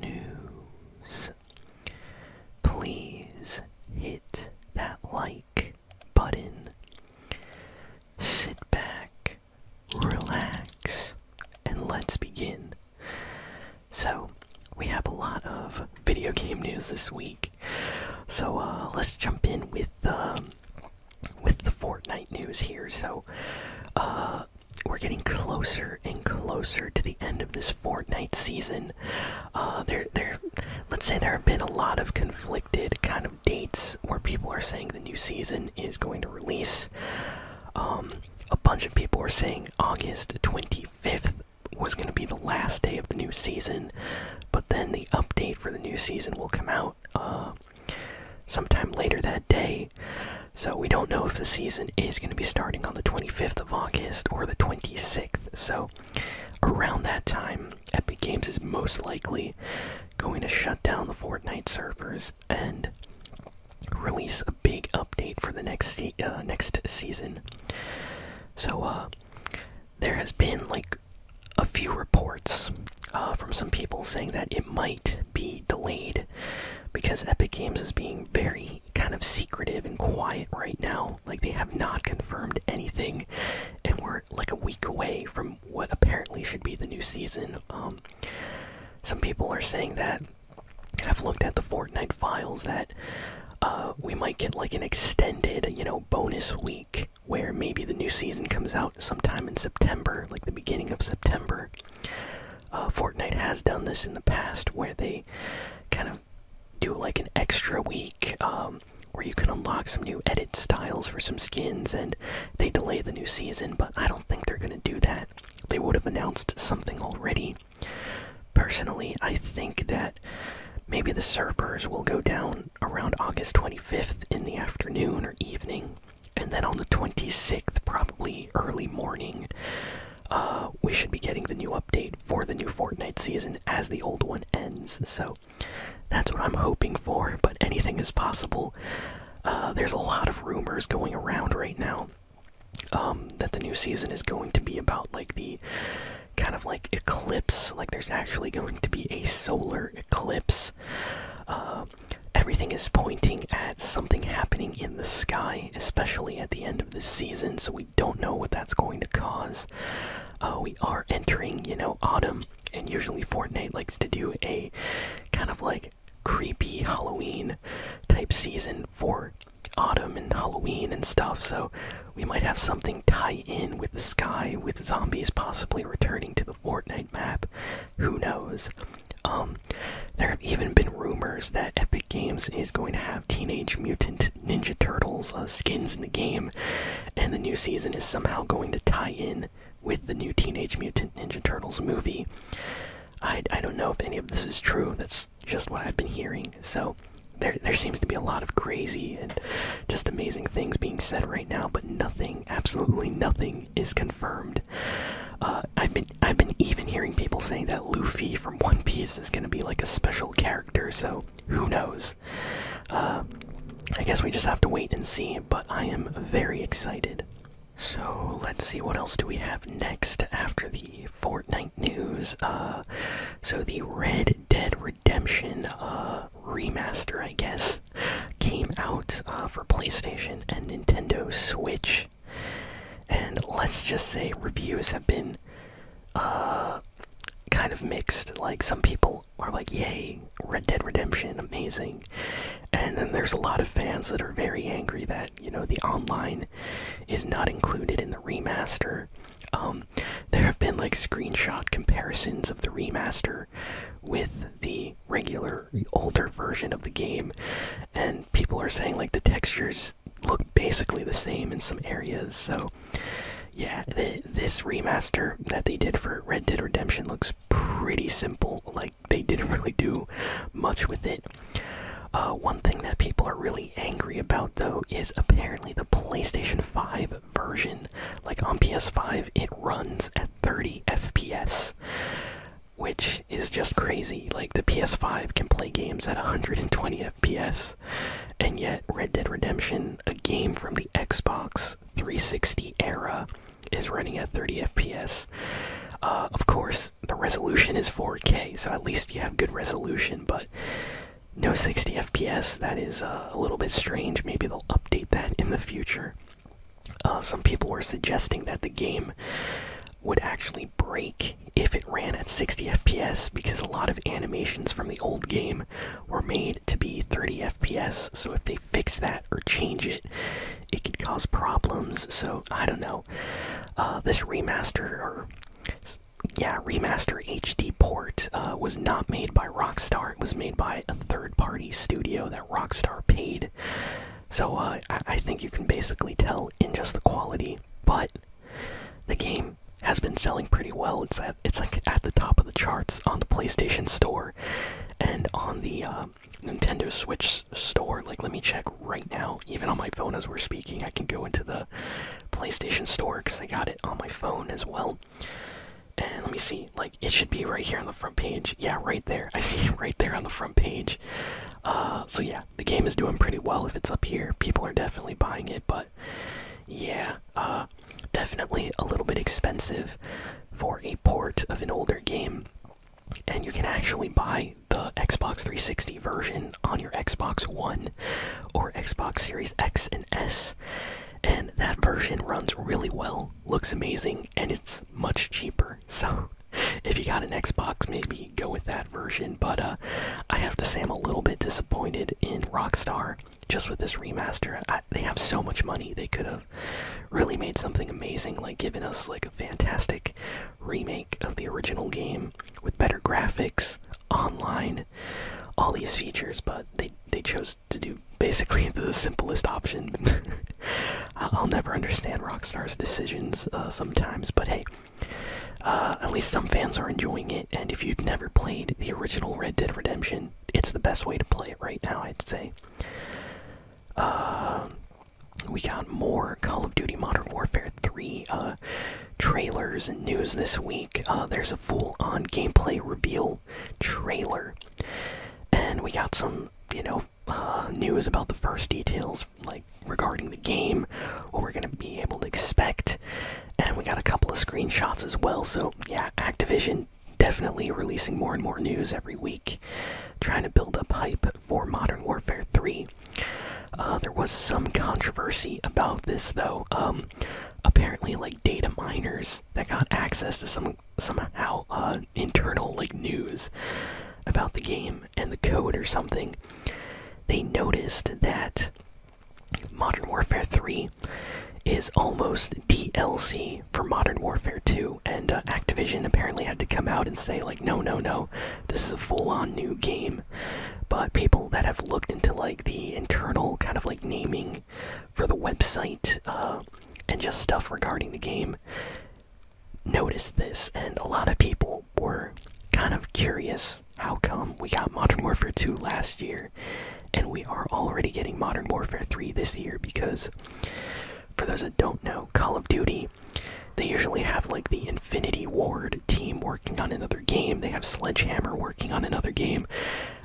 news. Please hit that like button. Sit back, relax, and let's begin. So, we have a lot of video game news this week. So, uh, let's jump in with the um, with the Fortnite news here. So, uh, we're getting closer and closer to the end of this Fortnite season. Uh, there, there. Let's say there have been a lot of conflicted kind of dates where people are saying the new season is going to release. Um, a bunch of people are saying August 25th was going to be the last day of the new season, but then the update for the new season will come out uh, sometime later that day. So we don't know if the season is going to be starting on the 25th of August or the 26th. So around that time, Epic Games is most likely going to shut down the Fortnite servers and release a big update for the next uh, next season. So uh, there has been like a few reports uh, from some people saying that it might be delayed because Epic Games is being very kind of secretive and quiet right now. Like they have not confirmed anything, and we're like a week away from what apparently should be the new season. Um, some people are saying that I've looked at the Fortnite files that uh, we might get like an extended, you know, bonus week where maybe the new season comes out sometime in September, like the beginning of September. Uh, Fortnite has done this in the past where they kind of do like an extra week um, where you can unlock some new edit styles for some skins and they delay the new season, but I don't think they're going to do that. They would have announced something already. Personally, I think that maybe the servers will go down around August 25th in the afternoon or evening. And then on the 26th, probably early morning, uh, we should be getting the new update for the new Fortnite season as the old one ends. So that's what I'm hoping for, but anything is possible. Uh, there's a lot of rumors going around right now um, that the new season is going to be about like the kind of like eclipse, like there's actually going to be a solar eclipse. Um, everything is pointing at something happening in the sky, especially at the end of the season. So we don't know what that's going to cause. Uh, we are entering, you know, autumn, and usually Fortnite likes to do a kind of like creepy Halloween type season for autumn and Halloween and stuff. So we might have something tie in with the sky, with zombies possibly returning to the Fortnite map. Who knows? Um, there have even been rumors that Epic Games is going to have Teenage Mutant Ninja Turtles uh, skins in the game, and the new season is somehow going to tie in with the new Teenage Mutant Ninja Turtles movie. I, I don't know if any of this is true, that's just what I've been hearing. So, there, there seems to be a lot of crazy and just amazing things being said right now, but nothing, absolutely nothing, is confirmed. Uh, I've been, I've been even hearing people saying that Luffy from One Piece is gonna be like a special character, so who knows? Uh, I guess we just have to wait and see. But I am very excited. So let's see what else do we have next after the Fortnite news. Uh, so the Red Dead Redemption remaster, I guess, came out uh, for PlayStation and Nintendo Switch. And let's just say reviews have been uh, kind of mixed. Like, some people are like, yay, Red Dead Redemption, amazing. And then there's a lot of fans that are very angry that, you know, the online is not included in the remaster. Um, there have been like screenshot comparisons of the remaster with the regular older version of the game and people are saying like the textures look basically the same in some areas so yeah this remaster that they did for red dead redemption looks pretty simple like they didn't really do much with it uh, one thing that people are really angry about though is apparently the playstation 5 version, like on PS5, it runs at 30 FPS, which is just crazy. Like, the PS5 can play games at 120 FPS, and yet Red Dead Redemption, a game from the Xbox 360 era, is running at 30 FPS. Uh, of course, the resolution is 4K, so at least you have good resolution, but no 60 fps that is uh, a little bit strange maybe they'll update that in the future uh, some people were suggesting that the game would actually break if it ran at 60 fps because a lot of animations from the old game were made to be 30 fps so if they fix that or change it it could cause problems so i don't know uh, this remaster or yeah remaster hd port that uh, was not made by Rockstar. It was made by a third-party studio that Rockstar paid. So uh, I, think you can basically tell in just the quality. But the game has been selling pretty well. It's at, it's like at the top of the charts on the PlayStation Store and on the uh, Nintendo Switch Store. Like, let me check right now. Even on my phone as we're speaking, I can go into the PlayStation Store because I got it on my phone as well. And let me see, like it should be right here on the front page. Yeah, right there. I see right there on the front page. Uh, so yeah, the game is doing pretty well if it's up here. People are definitely buying it, but yeah, uh, definitely a little bit expensive for a port of an older game. And you can actually buy the Xbox 360 version on your Xbox One or Xbox Series X and S and that version runs really well, looks amazing, and it's much cheaper. So, if you got an Xbox, maybe go with that version. But uh, I have to say, I'm a little bit disappointed in Rockstar just with this remaster. they have so much money; they could have really made something amazing, like giving us like a fantastic remake of the original game with better graphics, online, all these features, but they they chose to do basically the simplest option. I'll never understand Rockstar's decisions uh, sometimes, but hey, uh, at least some fans are enjoying it. And if you've never played the original Red Dead Redemption, it's the best way to play it right now, I'd say. Uh, we got more Call of Duty Modern Warfare 3 trailers and news this week. Uh, there's a full on gameplay reveal trailer. And we got some, you know, uh, news about the first details, like regarding the game, what we're going to be able to expect. And we got a couple of screenshots as well. So, yeah, Activision definitely releasing more and more news every week, trying to build up hype for Modern Warfare 3. Uh, there was some controversy about this, though. Um, apparently like data miners that got access to some somehow uh, internal like news about the game and the code or something. They noticed that Modern Warfare 3 is almost DLC for Modern Warfare 2, and uh, Activision apparently had to come out and say, like, no, no, no, this is a full on new game. But people that have looked into, like, the internal kind of like naming for the website uh, and just stuff regarding the game noticed this, and a lot of people were kind of curious how come we got Modern Warfare 2 last year and we are already getting Modern Warfare 3 this year because for those that don't know, Call of Duty, they usually have like the Infinity Ward team working on another game. They have Sledgehammer working on another game.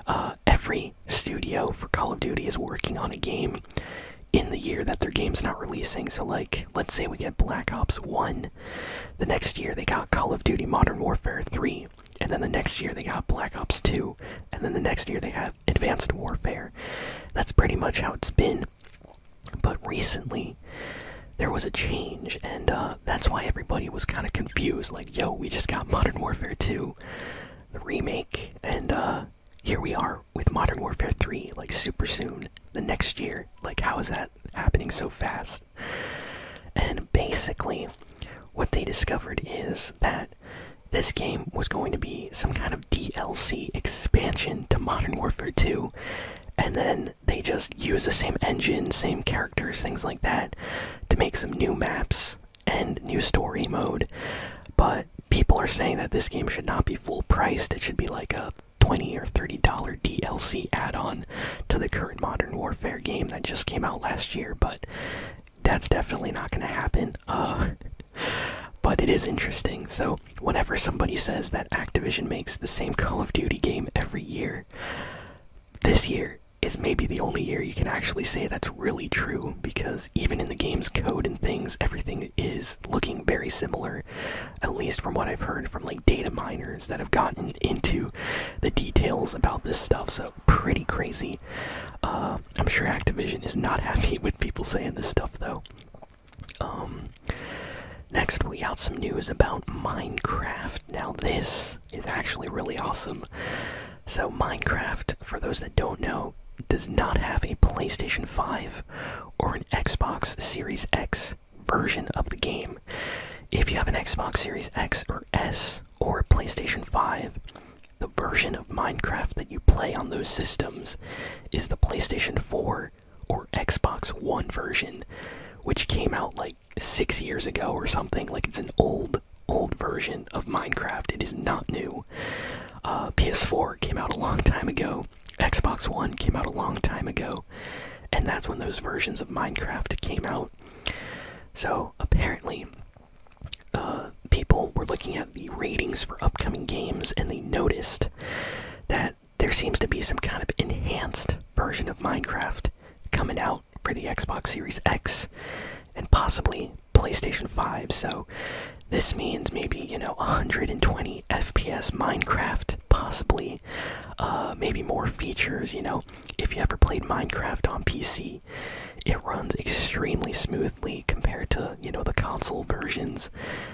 Uh, every studio for Call of Duty is working on a game in the year that their game's not releasing. So, like, let's say we get Black Ops 1. The next year they got Call of Duty Modern Warfare 3. And then the next year they got Black Ops 2. And then the next year they have Advanced Warfare. That's pretty much how it's been. But recently, there was a change, and uh, that's why everybody was kind of confused. Like, yo, we just got Modern Warfare 2, the remake, and uh, here we are with Modern Warfare 3, like super soon, the next year. Like, how is that happening so fast? And basically, what they discovered is that this game was going to be some kind of DLC expansion to Modern Warfare 2, and then they just use the same engine, same characters, things like that to make some new maps and new story mode. But people are saying that this game should not be full priced. It should be like a 20 or 30 dollar DLC add-on to the current Modern Warfare game that just came out last year, but that's definitely not going to happen. Uh, but it is interesting. So whenever somebody says that Activision makes the same Call of Duty game every year, this year is maybe the only year you can actually say that's really true because even in the game's code and things, everything is looking very similar, at least from what I've heard from like data miners that have gotten into the details about this stuff. So, pretty crazy. Uh, I'm sure Activision is not happy with people saying this stuff though. Um, Next, we got some news about Minecraft. Now, this is actually really awesome. So, Minecraft, for those that don't know, does not have a PlayStation 5 or an Xbox Series X version of the game. If you have an Xbox Series X or S or a PlayStation 5, the version of Minecraft that you play on those systems is the PlayStation 4 or Xbox One version, which came out like six years ago or something. Like it's an old, old version of Minecraft. It is not new. Uh, PS4 came out a long time ago. Xbox One came out a long time ago. And that's when those versions of Minecraft came out. So apparently, uh, people were looking at the ratings for upcoming games and they noticed that there seems to be some kind of enhanced version of Minecraft coming out for the Xbox Series X and possibly PlayStation 5. So this means maybe, you know, 120 FPS Minecraft, possibly. Uh, maybe more features, you know. If you ever played Minecraft on PC, it runs extremely smoothly compared to, you know, the console versions.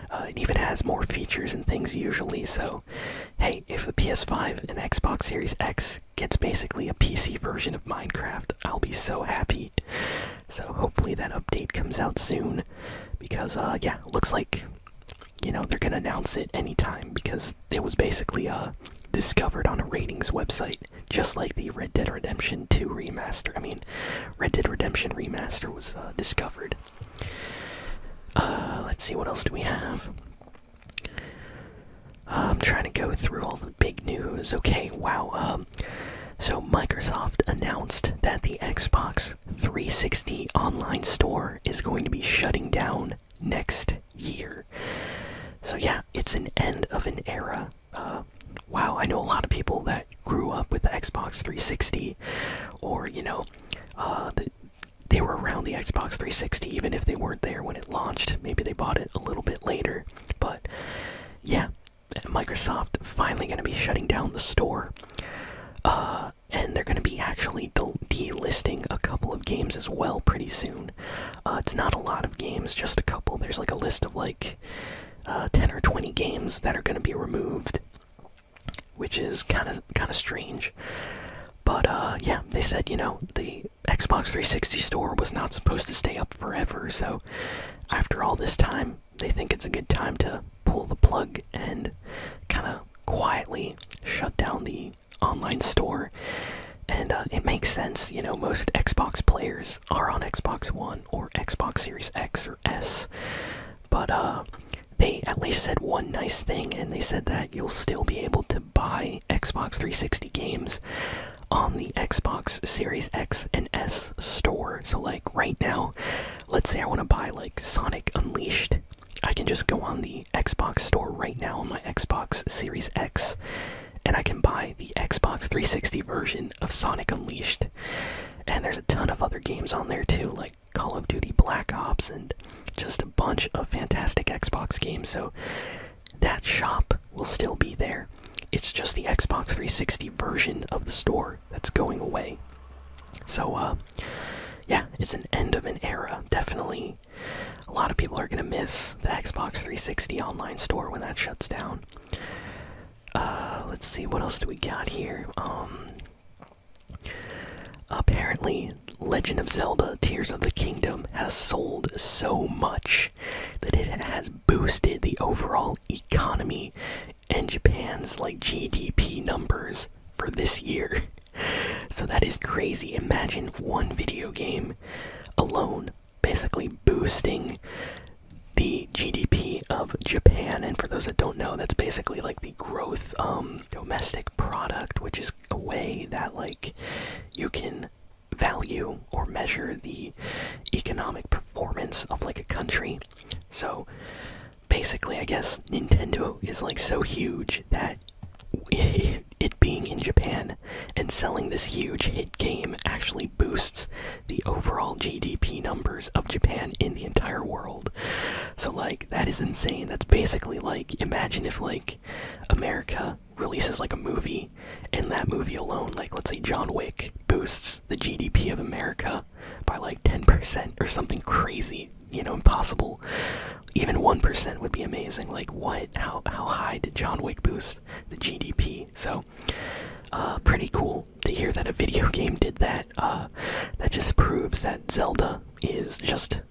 Uh, it even has more features and things usually, so hey, if the PS5 and Xbox Series X gets basically a PC version of Minecraft, I'll be so happy. So, hopefully, that update comes out soon because, uh, yeah, looks like you know they're gonna announce it anytime because it was basically uh discovered on a ratings website just like the red dead redemption 2 remaster i mean red dead redemption remaster was uh, discovered uh, let's see, what else do we have? Uh, I'm trying to go through all the big news. Okay, wow. Um, so, Microsoft announced that the Xbox 360 online store is going to be shutting down next year. So, yeah, it's an end of an era. Uh, wow, I know a lot of people that grew up with the Xbox 360, or you know, uh, they were around the Xbox 360 even if they weren't there when it launched. Maybe they bought it a little bit later, but yeah, Microsoft finally going to be shutting down the store. Uh, and they're going to be actually delisting a couple of games as well pretty soon. Uh, it's not a lot of games, just a couple. There's like a list of like 10 or 20 games that are going to be removed which is kind of kind of strange. But uh, yeah, they said you know the Xbox 360 store was not supposed to stay up forever, so after all this time, they think it's a good time to pull the plug and kind of quietly shut down the online store. And uh, it makes sense, you know, most Xbox players are on Xbox One or Xbox Series X or S. But uh, they at least said one nice thing, and they said that you'll still be able to buy Xbox 360 games on the Xbox Series X and S store. So, like right now, let's say I want to buy like Sonic Unleashed. I can just go on the Xbox store right now on my Xbox Series X and I can buy the Xbox 360 version of Sonic Unleashed and there's a ton of other games on there too, like Call of Duty Black Ops and just a bunch of fantastic Xbox games. So that shop will still be there. It's just the Xbox 360 version of the store that's going away. So, uh, yeah, it's an end of an era, definitely. A lot of people are going to miss the Xbox 360 online store when that shuts down. Uh, let's see, what else do we got here? Um, apparently, Legend of Zelda Tears of the Kingdom has sold so much that it has boosted the overall economy and Japan's like GDP numbers for this year. So that is crazy. Imagine one video game alone basically boosting the GDP of Japan, and for those that don't know, that's basically like the growth um, domestic product, which is a way that like you can value or measure the economic performance of like a country. So basically, I guess Nintendo is like so huge that it being in Japan and selling this huge hit game actually boosts the overall GDP numbers of Japan in the entire world. So, like, that is insane. That's basically like, imagine if, like, America releases, like, a movie, and that movie alone, like, let's say John Wick, boosts the GDP of America by, like, 10% or something crazy, you know, impossible. Even 1% would be amazing. Like, what? How, how high did John Wick boost the GDP? So, uh, pretty cool to hear that a video game did that, uh, that just proves that Zelda is just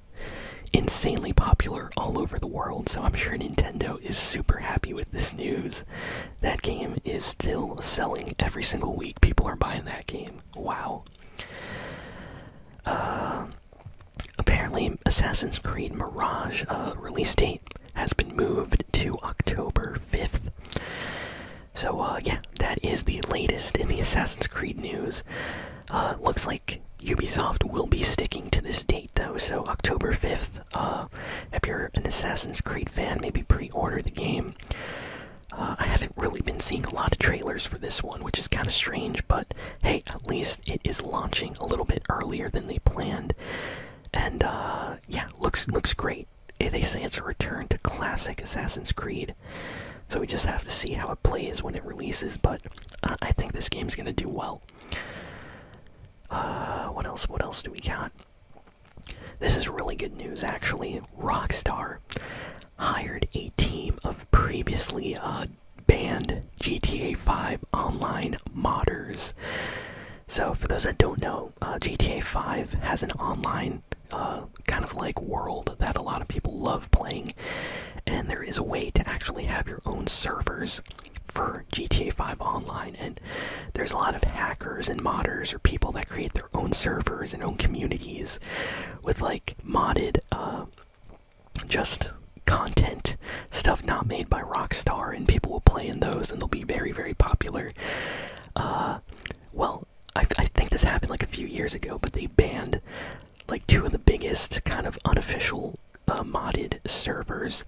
insanely popular all over the world. So I'm sure Nintendo is super happy with this news. That game is still selling every single week. People are buying that game. Wow. Uh, apparently, Assassin's Creed Mirage uh, release date has been moved to October 5th. So, uh, yeah, that is the latest in the Assassin's Creed news. Uh, looks like Ubisoft will be sticking to this date, though, so October 5th. Uh, if you're an Assassin's Creed fan, maybe pre order the game. I haven't really been seeing a lot of trailers for this one, which is kind of strange, but hey, at least it is launching a little bit earlier than they planned. And yeah, looks looks great they say it's a return to classic Assassin's Creed, so we just have to see how it plays when it releases. But uh, I think this game is gonna do well. Uh, what else? What else do we got? This is really good news, actually. Rockstar hired a team of previously uh, banned GTA 5 online modders so, for those that don't know, uh, GTA 5 has an online uh, kind of like world that a lot of people love playing, and there is a way to actually have your own servers for GTA 5 Online. And there's a lot of hackers and modders or people that create their own servers and own communities with like modded, uh, just content stuff not made by Rockstar, and people will play in those, and they'll be very, very popular. Uh, well, I, think this happened like a few years ago, but they banned like two of the biggest kind of unofficial uh, modded servers,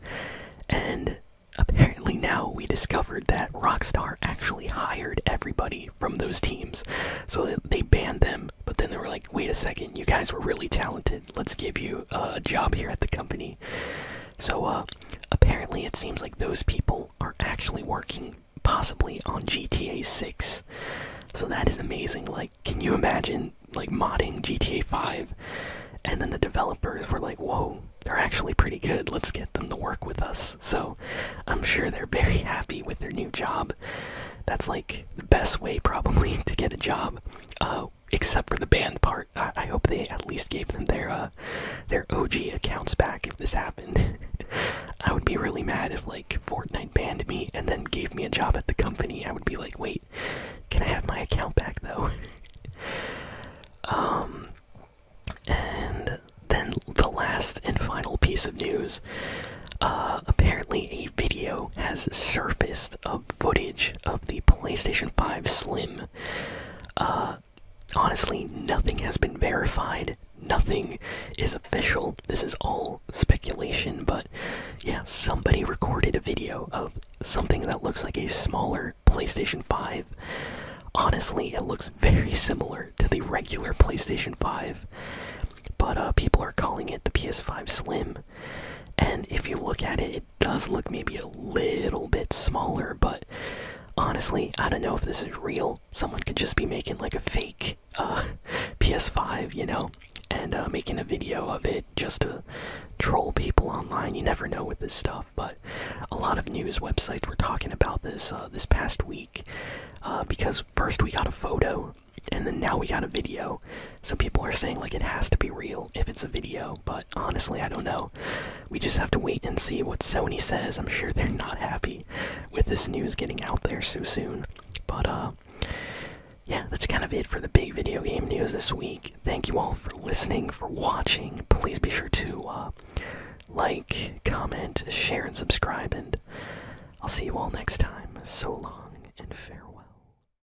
and apparently now we discovered that Rockstar actually hired everybody from those teams. So they banned them, but then they were like, wait a second, you guys were really talented. Let's give you a job here at the company. So, uh, apparently, it seems like those people are actually working possibly on GTA 6. So, that is amazing. Like, can you imagine, like, modding GTA 5? And then the developers were like, whoa, they're actually pretty good. Let's get them to work with us. So, I'm sure they're very happy with their new job. That's like the best way, probably, to get a job uh, except for the banned part. I, hope they at least gave them their uh, their OG accounts back if this happened. I would be really mad if like Fortnite banned me and then gave me a job at the company. I would be like, wait, can I have my account back though? um, and then the last and final piece of news. Uh, apparently, a video has surfaced of footage of the PlayStation 5 Slim. Uh, honestly, nothing has been verified. Nothing is official. This is all speculation, but yeah, somebody recorded a video of something that looks like a smaller PlayStation 5. Honestly, it looks very similar to the regular PlayStation 5, but uh, people are calling it the PS5 Slim. And if you look at it, does look maybe a little bit smaller, but honestly, I don't know if this is real. Someone could just be making like a fake uh, PS5, you know, and uh, making a video of it just to troll people online. You never know with this stuff, but a lot of news websites were talking about this uh, this past week because first we got a photo and then now we got a video so people are saying like it has to be real if it's a video, but honestly, I don't know. We just have to wait and see what Sony says. I'm sure they're not happy with this news getting out there so soon. But uh yeah, that's kind of it for the big video game news this week. Thank you all for listening, for watching. Please be sure to uh, like, comment, share, and subscribe. And I'll see you all next time. So long and farewell.